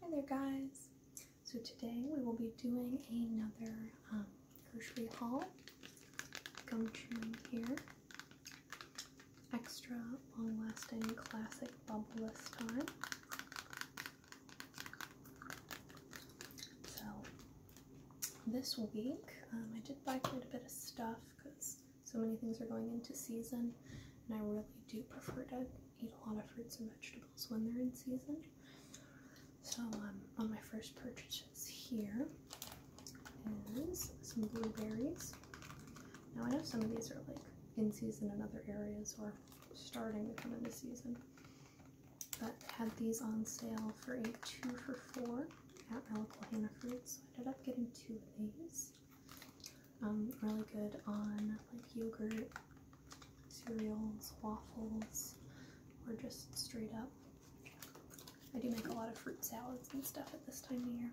Hi there guys! So today we will be doing another grocery um, haul. Go to here. Extra long lasting classic bubble this time. So this week um, I did buy quite a bit of stuff because so many things are going into season and I really do prefer to eat a lot of fruits and vegetables when they're in season. So um, on my first purchases here is some blueberries. Now I know some of these are like in season in other areas or starting to come into season, but had these on sale for a two for four at my local Fruits. So I ended up getting two of these. Um, really good on like yogurt, cereals, waffles, or just straight up. I do make a lot of fruit salads and stuff at this time of year.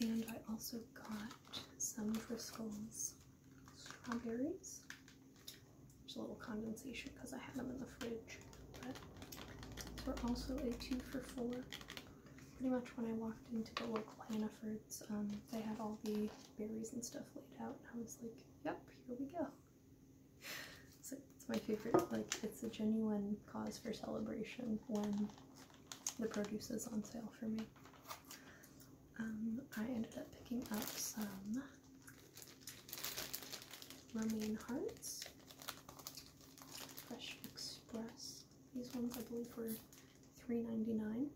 And I also got some Driscoll's strawberries. There's a little condensation because I had them in the fridge, but they're also a two for four pretty much when I walked into the local Hannaford's, um, they had all the berries and stuff laid out, and I was like, yep, here we go. it's my favorite, like, it's a genuine cause for celebration when the produce is on sale for me. Um, I ended up picking up some romaine hearts, Fresh Express these ones I believe were $3.99.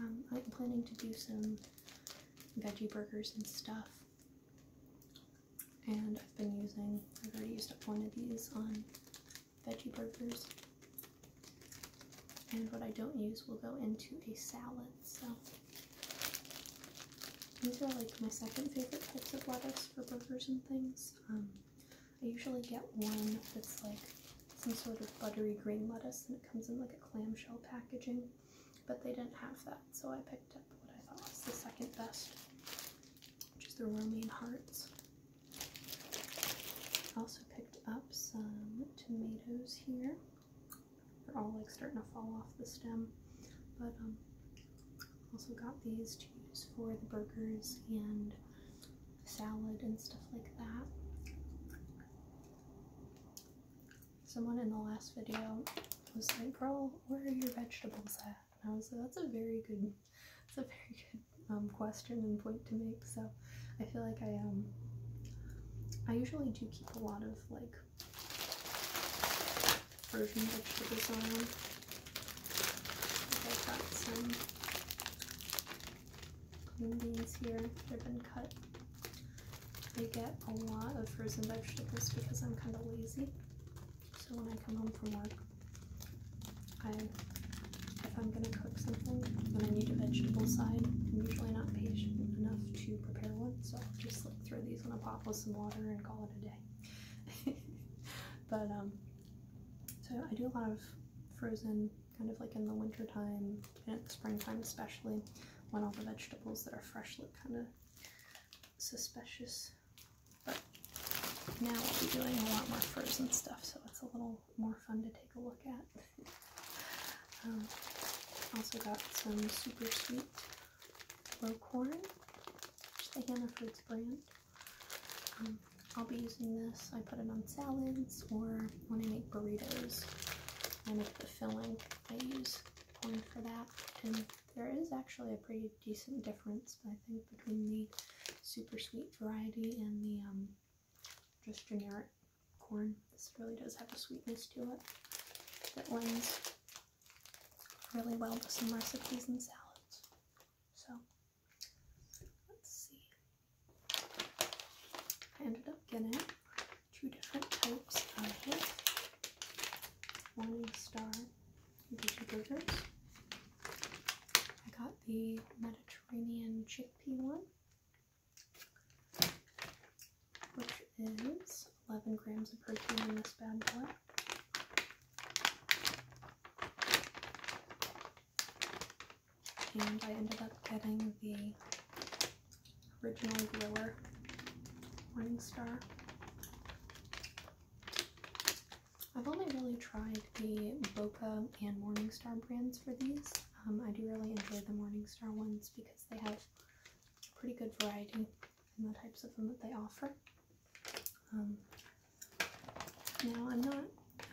Um, I'm planning to do some veggie burgers and stuff. And I've been using, I've already used up one of these on veggie burgers. And what I don't use will go into a salad, so. These are like my second favorite types of lettuce for burgers and things. Um, I usually get one that's like some sort of buttery green lettuce and it comes in like a clamshell packaging, but they didn't have that, so I picked up what I thought was the second best, which is the romaine hearts. I also picked up some tomatoes here. They're all like starting to fall off the stem, but um, also got these for the burgers and salad and stuff like that. Someone in the last video was like, girl, where are your vegetables at? And I was like, that's a very good, that's a very good um, question and point to make. So I feel like I, um, I usually do keep a lot of like frozen vegetables on I've got some green beans here. They've been cut. I get a lot of frozen vegetables because I'm kind of lazy. So when I come home from work, I, if I'm going to cook something, then I need a vegetable side. I'm usually not patient enough to prepare one, so I'll just throw these in a pot with some water and call it a day. but um, so I do a lot of frozen, kind of like in the wintertime and springtime especially, when all the vegetables that are fresh look kind of suspicious. But now I'll be doing a lot more frozen stuff, so it's a little more fun to take a look at. Um, also got some super sweet low corn, which is the Hannaford's brand. Um, I'll be using this. I put it on salads or when I make burritos. I make the filling. I use corn for that. And there is actually a pretty decent difference, I think, between the super sweet variety and the um, just generic corn. This really does have a sweetness to it that lends really well with some recipes and salads. So. Let's see. I ended up getting two different types of it. Morning Star Veggie Burgers. I got the Mediterranean chickpea one, which is 11 grams of protein in this bad boy and I ended up getting the original Gliller Morningstar. I've only really tried the Boca and Morningstar brands for these. Um, I do really enjoy the Morningstar ones because they have pretty good variety in the types of them that they offer. Um, now, I'm not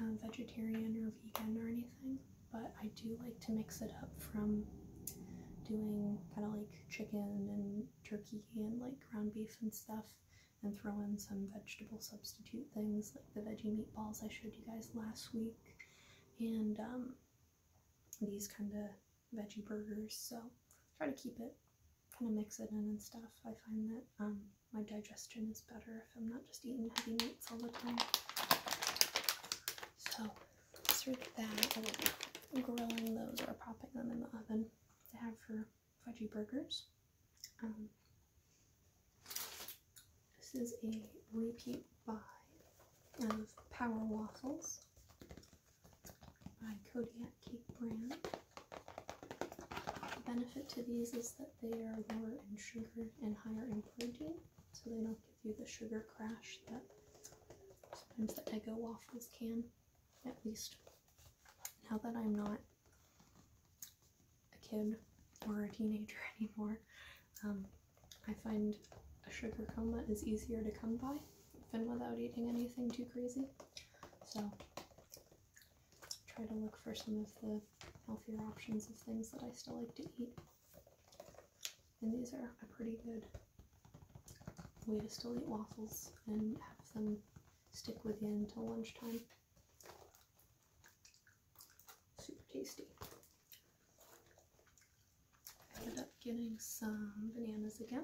um, vegetarian or vegan or anything, but I do like to mix it up from doing kind of like chicken and turkey and like ground beef and stuff and throw in some vegetable substitute things like the veggie meatballs I showed you guys last week and um, these kind of veggie burgers. So try to keep it, kind of mix it in and stuff. I find that my digestion is better if I'm not just eating heavy meats all the time. So serve that. Oh, I am grilling those or popping them in the oven to have for veggie burgers. Um, this is a repeat buy of Power Waffles by Kodiak Cake Brand. The benefit to these is that they are lower in sugar and higher in protein, so they don't give you the sugar crash that sometimes the Eggo waffles can, at least. Now that I'm not a kid or a teenager anymore, um, I find a sugar coma is easier to come by, even without eating anything too crazy. So try to look for some of the healthier options of things that I still like to eat. And these are a pretty good way to still eat waffles and have them stick with you until lunchtime. Super tasty. I ended up getting some bananas again.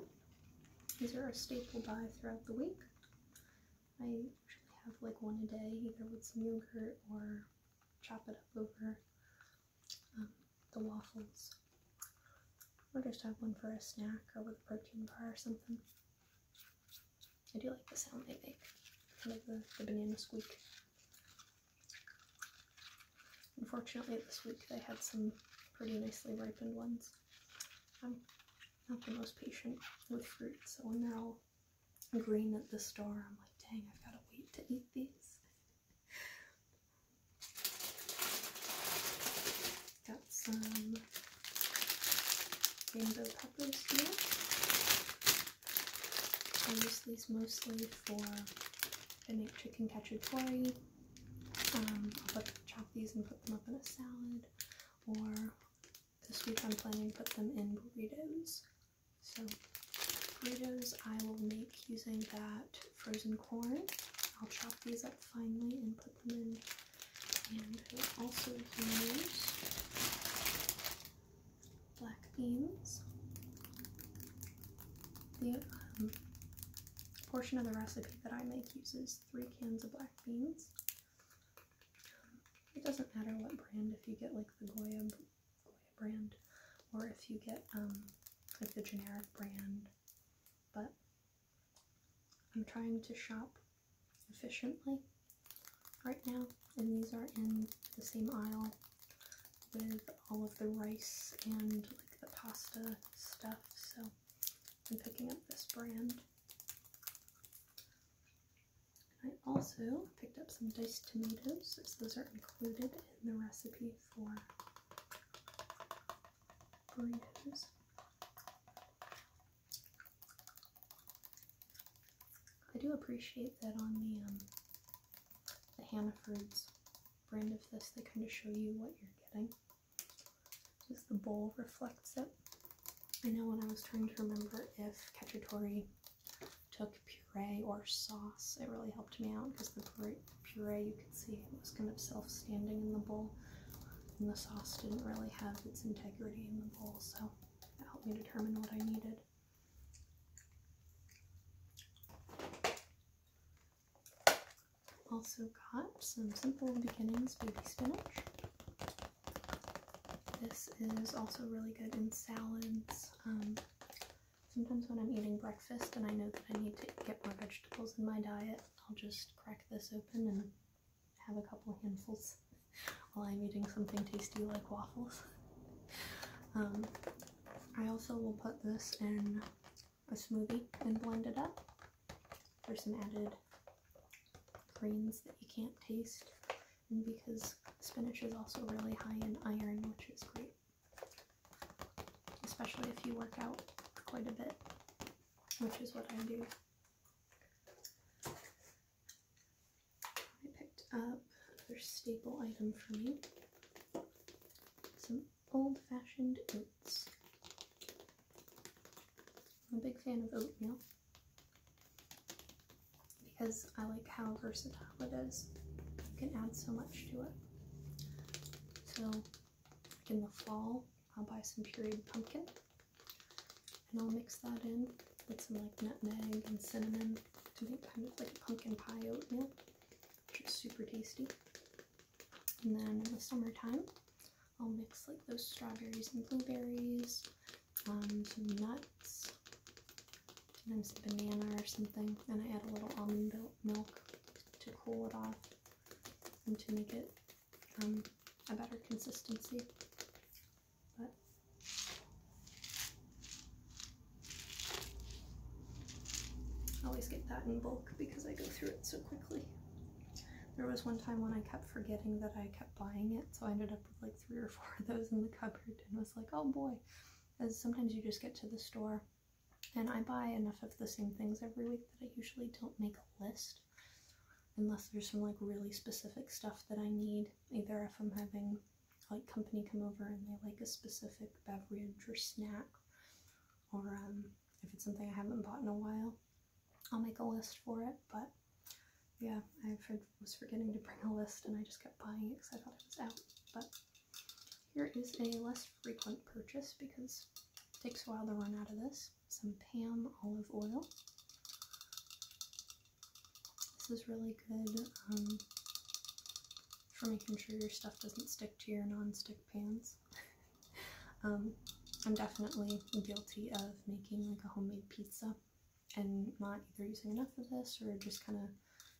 These are a staple buy throughout the week. I usually have like one a day, either with some yogurt or chop it up over um, the waffles. Or just have one for a snack or with a protein bar or something. I do like the sound they make, kind of the, banana squeak. Unfortunately, this week they had some pretty nicely ripened ones. Um, not the most patient with fruit, so when they're all green at the store, I'm like, dang, I've got to wait to eat these. Got some rainbow peppers here. I use these mostly for, I make chicken cacciatore. Um, I'll chop these and put them up in a salad, or this week I'm planning to put them in burritos. So burritos I will make using that frozen corn. I'll chop these up finely and put them in. And I will also use black beans. The um, portion of the recipe that I make uses three cans of black beans. It doesn't matter what brand, if you get like the Goya, brand or if you get um, like the generic brand, but I'm trying to shop efficiently right now and these are in the same aisle with all of the rice and like the pasta stuff so I'm picking up this brand. I also picked up some diced tomatoes, those are included in the recipe for burritos. I do appreciate that on the um, the Hannah Hannaford's brand of this, they kind of show you what you're getting. Just the bowl reflects it. I know when I was trying to remember if cacciatore took puree or sauce, it really helped me out because the puree, you can see was kind of self-standing in the bowl and the sauce didn't really have its integrity in the bowl, so that helped me determine what I needed. Also got some Simple Beginnings baby spinach. This is also really good in salads. Um, sometimes when I'm eating breakfast and I know that I need to get more vegetables in my diet, I'll just crack this open and have a couple handfuls while I'm eating something tasty like waffles. Um, I also will put this in a smoothie and blend it up. There's some added greens that you can't taste and because spinach is also really high in iron which is great especially if you work out quite a bit which is what I do I picked up another staple item for me some old-fashioned I'm a big fan of oatmeal because I like how versatile it is. You can add so much to it. So in the fall, I'll buy some pureed pumpkin and I'll mix that in with some like nutmeg and cinnamon to make kind of like a pumpkin pie oatmeal, which is super tasty. And then in the summertime, I'll mix like those strawberries and blueberries, um, some nuts, sometimes a banana or something, and I add a little almond milk to cool it off and to make it um, a better consistency. But I always get that in bulk because I go through it so quickly. There was one time when I kept forgetting that I kept buying it, so I ended up with like three or four of those in the cupboard and was like, oh boy. As sometimes you just get to the store and I buy enough of the same things every week that I usually don't make a list unless there's some like really specific stuff that I need, either if I'm having like company come over and they like a specific beverage or snack or um, if it's something I haven't bought in a while. I'll make a list for it, but yeah, I was forgetting to bring a list and I just kept buying it because I thought it was out. But here is a less frequent purchase because it takes a while to run out of this. Some Pam olive oil. This is really good um, for making sure your stuff doesn't stick to your non-stick pans. Um, I'm definitely guilty of making like a homemade pizza and not either using enough of this or just kind of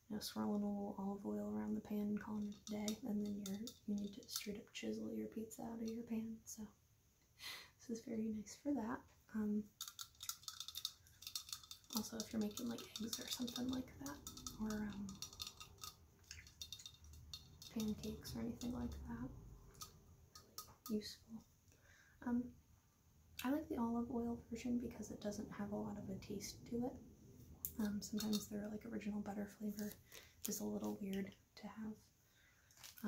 you know, swirling a little olive oil around the pan and calling it a day and then you're, you need to straight up chisel your pizza out of your pan so this is very nice for that. Um, also if you're making like eggs or something like that or um, pancakes or anything like that. Useful. Um, I like the olive oil version because it doesn't have a lot of a taste to it. Um, sometimes the like original butter flavor is a little weird to have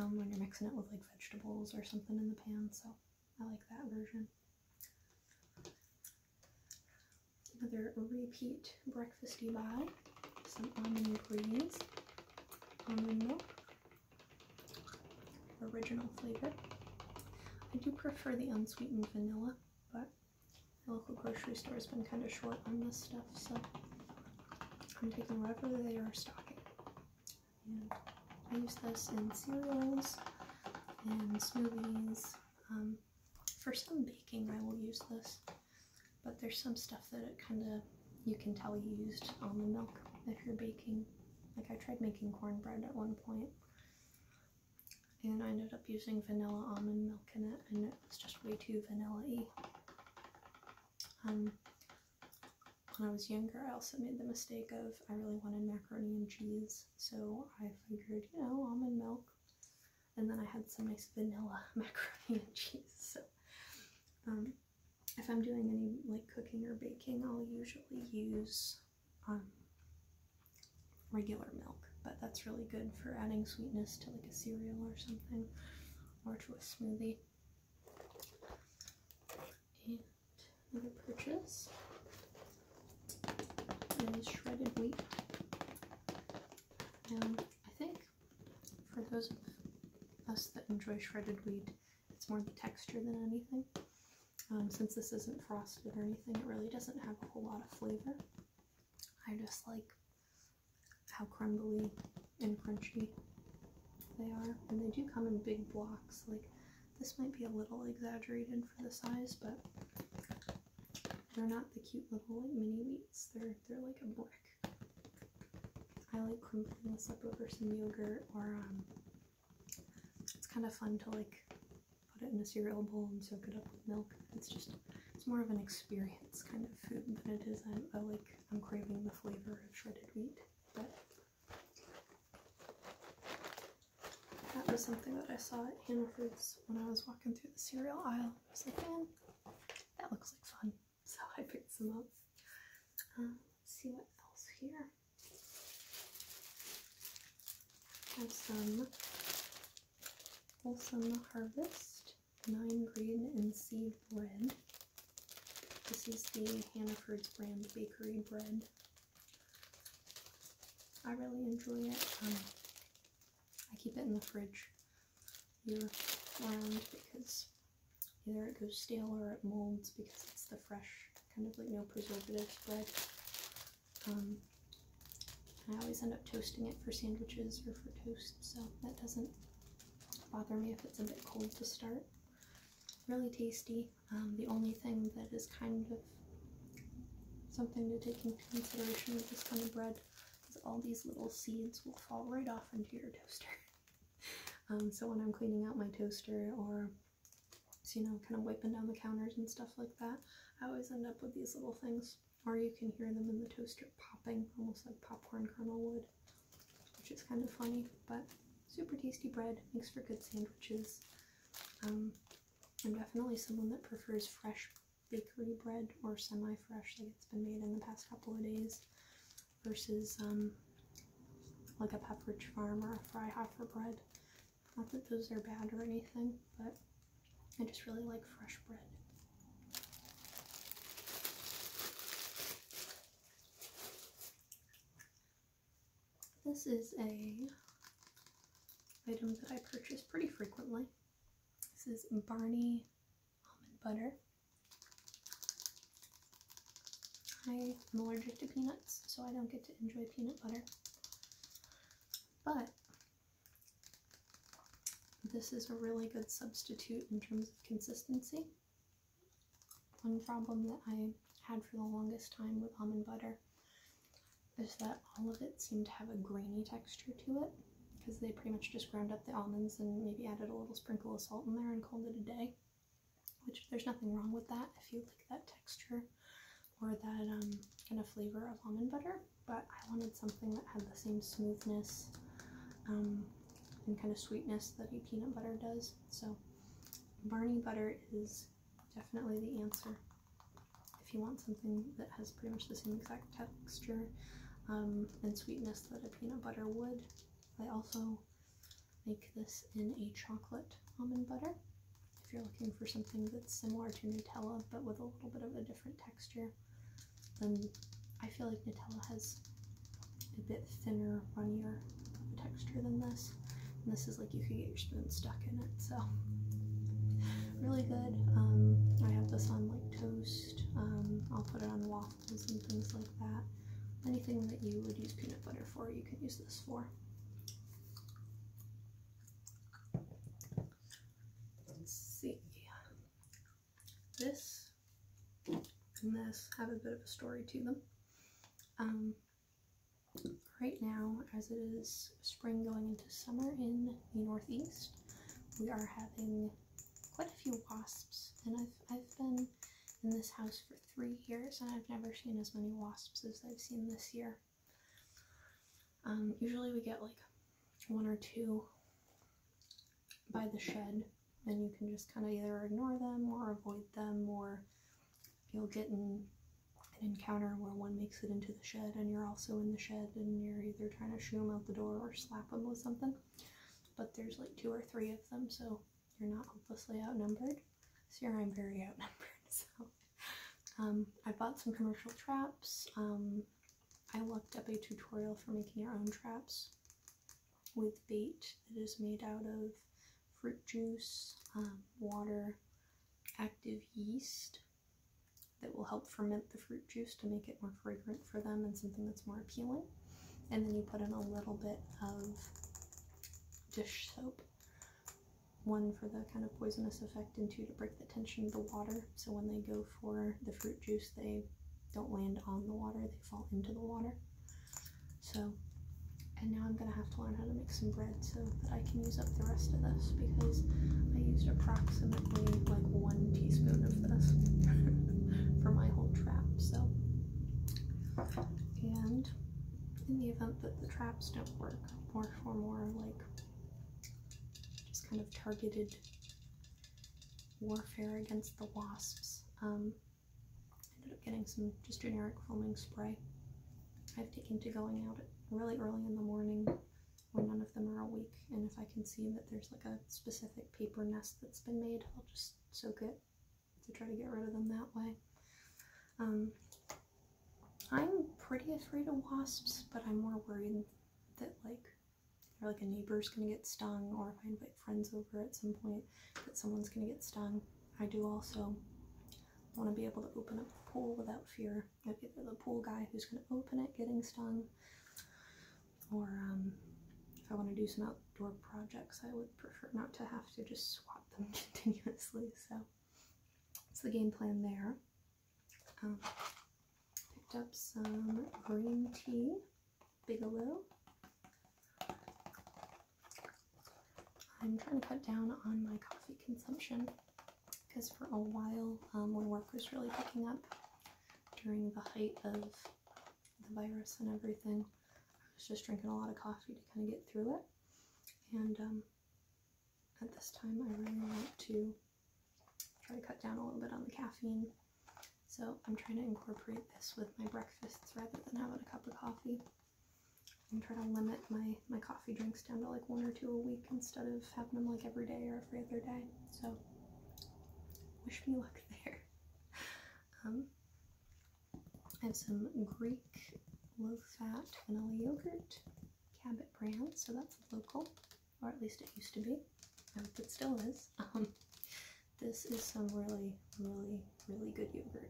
um, when you're mixing it with like vegetables or something in the pan, so I like that version. Another repeat breakfasty vibe. Some almond ingredients, almond milk, original flavor. I do prefer the unsweetened vanilla, but the local grocery store has been kind of short on this stuff, so I'm taking whatever they are stocking. I use this in cereals and smoothies. Um, for some baking, I will use this but there's some stuff that it kind of you can tell you used almond milk if you're baking. Like I tried making cornbread at one point and I ended up using vanilla almond milk in it and it was just way too vanilla Um, when I was younger, I also made the mistake of I really wanted macaroni and cheese, so I figured, you know, almond milk, and then I had some nice vanilla macaroni and cheese. So um, if I'm doing any like cooking or baking, I'll usually use um, regular milk, but that's really good for adding sweetness to like a cereal or something, or to a smoothie. And another purchase is shredded wheat. Um, I think for those of us that enjoy shredded wheat, it's more the texture than anything. Um, since this isn't frosted or anything, it really doesn't have a whole lot of flavor. I just like how crumbly and crunchy they are. And they do come in big blocks. Like, this might be a little exaggerated for the size, but they're not the cute little mini wheats. They're, they're like a brick. I like crumpling this up over some yogurt or um, it's kind of fun to like put it in a cereal bowl and soak it up with milk. It's just, it's more of an experience kind of food than it is. I, I like, I'm craving the flavor of shredded wheat, but that was something that I saw at Foods when I was walking through the cereal aisle. I was that looks like fun, so I picked some up. Um, let's see what else here. Have some Wholesome Harvest Nine Grain and Seed Bread. This is the Hannah Hannaford's brand bakery bread. I really enjoy it. Um, I keep it in the fridge year round because either it goes stale or it molds because it's the fresh, kind of like no preservatives bread. Um, I always end up toasting it for sandwiches or for toast, so that doesn't bother me if it's a bit cold to start. Really tasty. Um, the only thing that is kind of something to take into consideration with this kind of bread because all these little seeds will fall right off into your toaster. Um, so when I'm cleaning out my toaster or you know, kind of wiping down the counters and stuff like that, I always end up with these little things. Or you can hear them in the toaster popping, almost like popcorn kernel would, which is kind of funny, but super tasty bread, makes for good sandwiches. Um, I'm definitely someone that prefers fresh bakery bread or semi-fresh like it's been made in the past couple of days versus um, like a Pepperidge Farm or a Freihoffer bread. Not that those are bad or anything, but I just really like fresh bread. This is a item that I purchase pretty frequently. This is Barney almond butter. I'm allergic to peanuts, so I don't get to enjoy peanut butter. But this is a really good substitute in terms of consistency. One problem that I had for the longest time with almond butter is that all of it seemed to have a grainy texture to it because they pretty much just ground up the almonds and maybe added a little sprinkle of salt in there and called it a day. Which there's nothing wrong with that if you like that texture or that um, kind of flavor of almond butter. But I wanted something that had the same smoothness um, and kind of sweetness that a peanut butter does. So Barney butter is definitely the answer if you want something that has pretty much the same exact texture um, and sweetness that a peanut butter would. I also make this in a chocolate almond butter. If you're looking for something that's similar to Nutella but with a little bit of a different texture, then I feel like Nutella has a bit thinner, runnier texture than this. this is like you could get your spoon stuck in it, so really good. Um, I have this on like toast. Um, I'll put it on waffles and things like that. Anything that you would use peanut butter for, you can use this for. Let's see. This and this have a bit of a story to them. Um, right now, as it is spring going into summer in the northeast, we are having quite a few wasps. And I've, I've been in this house for three years and I've never seen as many wasps as I've seen this year. Um, usually we get like one or two by the shed and you can just kind of either ignore them or avoid them or you'll get an encounter where one may it into the shed and you're also in the shed and you're either trying to shoot them out the door or slap them with something. But there's like two or three of them, so you're not hopelessly outnumbered. So here I'm very outnumbered. So um, I bought some commercial traps. Um, I looked up a tutorial for making your own traps with bait that is made out of fruit juice, um, water, active yeast, that will help ferment the fruit juice to make it more fragrant for them and something that's more appealing. And then you put in a little bit of dish soap. One for the kind of poisonous effect and two to break the tension of the water. So when they go for the fruit juice, they don't land on the water, they fall into the water. So, and now I'm gonna have to learn how to make some bread so that I can use up the rest of this because I used approximately like one teaspoon of this for my whole trap, so. And in the event that the traps don't work, more for more like just kind of targeted warfare against the wasps, um, I ended up getting some just generic foaming spray. I've taken to going out really early in the morning when none of them are awake. And if I can see that there's like a specific paper nest that's been made, I'll just soak it to try to get rid of them that way. Um, I'm pretty afraid of wasps, but I'm more worried that like or like a neighbor's gonna get stung or if I invite friends over at some point that someone's gonna get stung. I do also want to be able to open up the pool without fear you the pool guy who's going to open it getting stung. Or um, if I want to do some outdoor projects, I would prefer not to have to just swap them continuously. So it's the game plan there. Um, picked up some green tea, Bigelow. I'm trying to cut down on my coffee consumption because for a while, um, when work was really picking up during the height of the virus and everything, I was just drinking a lot of coffee to kind of get through it. And um, at this time, I really want to try to cut down a little bit on the caffeine. So I'm trying to incorporate this with my breakfasts rather than having a cup of coffee and try to limit my my coffee drinks down to like one or two a week instead of having them like every day or every other day. So wish me luck there. Um, I have some Greek low-fat vanilla yogurt, Cabot brand, so that's local, or at least it used to be. I hope it still is. Um, this is some really, really, really good yogurt.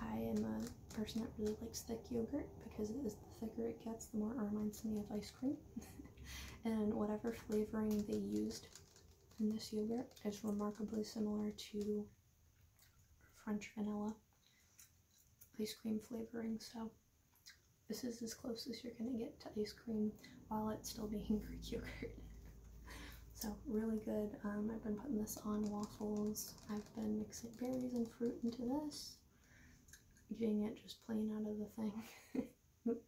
I am a person that really likes thick yogurt because it is thicker it gets, the more it reminds me of ice cream. and whatever flavoring they used in this yogurt is remarkably similar to French vanilla ice cream flavoring. So this is as close as you're going to get to ice cream while it's still being Greek yogurt. so really good. Um, I've been putting this on waffles. I've been mixing berries and fruit into this eating it just plain out of the thing.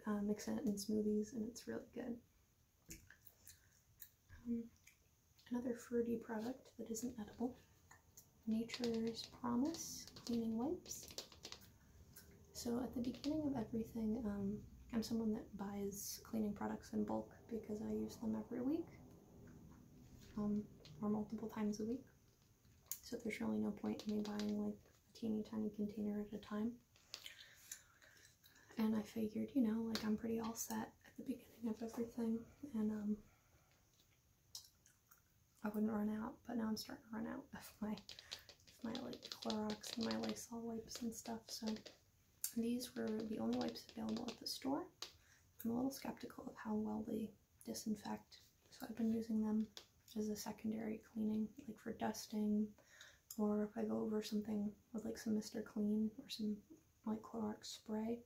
uh, mix it in smoothies and it's really good. Um, another fruity product that isn't edible. Nature's Promise Cleaning Wipes. So at the beginning of everything, um, I'm someone that buys cleaning products in bulk because I use them every week um, or multiple times a week. So there's really no point in me buying like a teeny tiny container at a time. And I figured, you know, like I'm pretty all set at the beginning of everything and um, I wouldn't run out, but now I'm starting to run out of my of my like Clorox and my Lysol wipes and stuff. So these were the only wipes available at the store. I'm a little skeptical of how well they disinfect. So I've been using them as a secondary cleaning, like for dusting, or if I go over something with like some Mr. Clean or some like Clorox spray,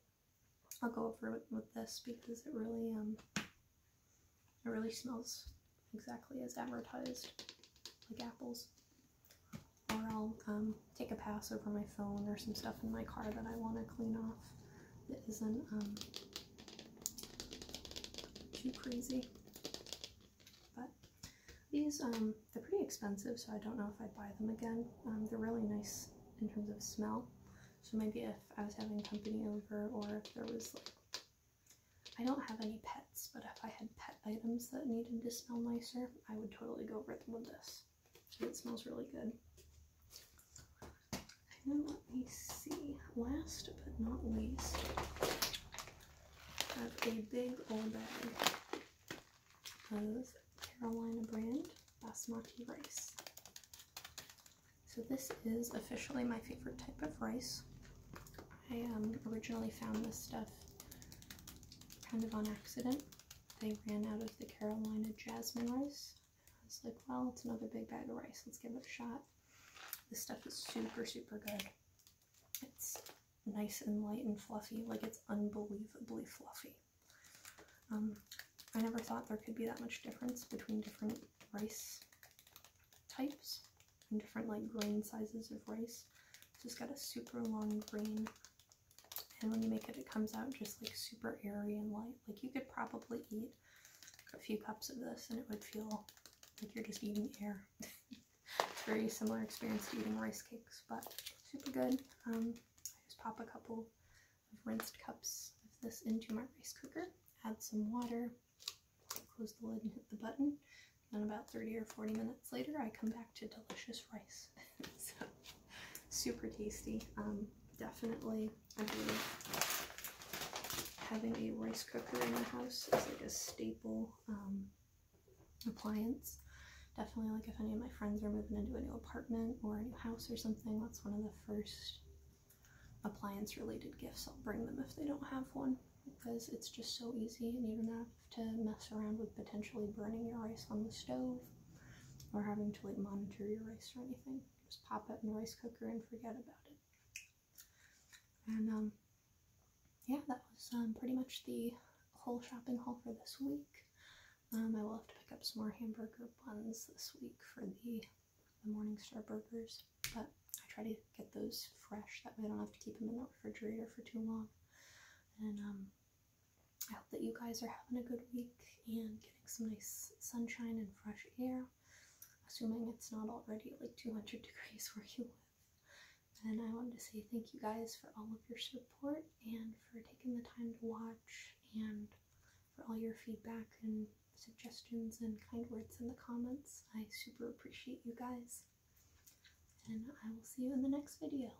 I'll go over with this because it really, um, it really smells exactly as advertised, like apples. Or I'll um, take a pass over my phone or some stuff in my car that I want to clean off that isn't um, too crazy. But these, um, they're pretty expensive, so I don't know if I'd buy them again. Um, they're really nice in terms of smell. So maybe if I was having company over or if there was like, I don't have any pets, but if I had pet items that needed to smell nicer, I would totally go over them with this it smells really good. let me see, last but not least, I have a big old bag of Carolina brand basmati rice. So this is officially my favorite type of rice. I um, originally found this stuff kind of on accident. They ran out of the Carolina jasmine rice I was like, well, it's another big bag of rice. Let's give it a shot. This stuff is super, super good. It's nice and light and fluffy. Like, it's unbelievably fluffy. Um, I never thought there could be that much difference between different rice types and different, like, grain sizes of rice. So it's got a super long grain and when you make it it comes out just like super airy and light like you could probably eat a few cups of this and it would feel like you're just eating air it's a very similar experience to eating rice cakes but super good um, I just pop a couple of rinsed cups of this into my rice cooker add some water close the lid hit the button and about 30 or 40 minutes later I come back to delicious rice so super tasty um, definitely I believe having a rice cooker in the house is like a staple um, appliance. Definitely like if any of my friends are moving into a new apartment or a new house or something, that's one of the first appliance related gifts I'll bring them if they don't have one because it's just so easy and you don't have to mess around with potentially burning your rice on the stove or having to like monitor your rice or anything just pop it in the rice cooker and forget about it. And um, yeah, that was um, pretty much the whole shopping haul for this week. Um, I will have to pick up some more hamburger buns this week for the, the Morningstar burgers, but I try to get those fresh. That way I don't have to keep them in the refrigerator for too long. And I hope that you guys are having a good week and getting some nice sunshine and fresh air, assuming it's not already like 200 degrees where you live. And I want to say thank you guys for all of your support and for taking the time to watch and for all your feedback and suggestions and kind words in the comments. I super appreciate you guys. And I will see you in the next video.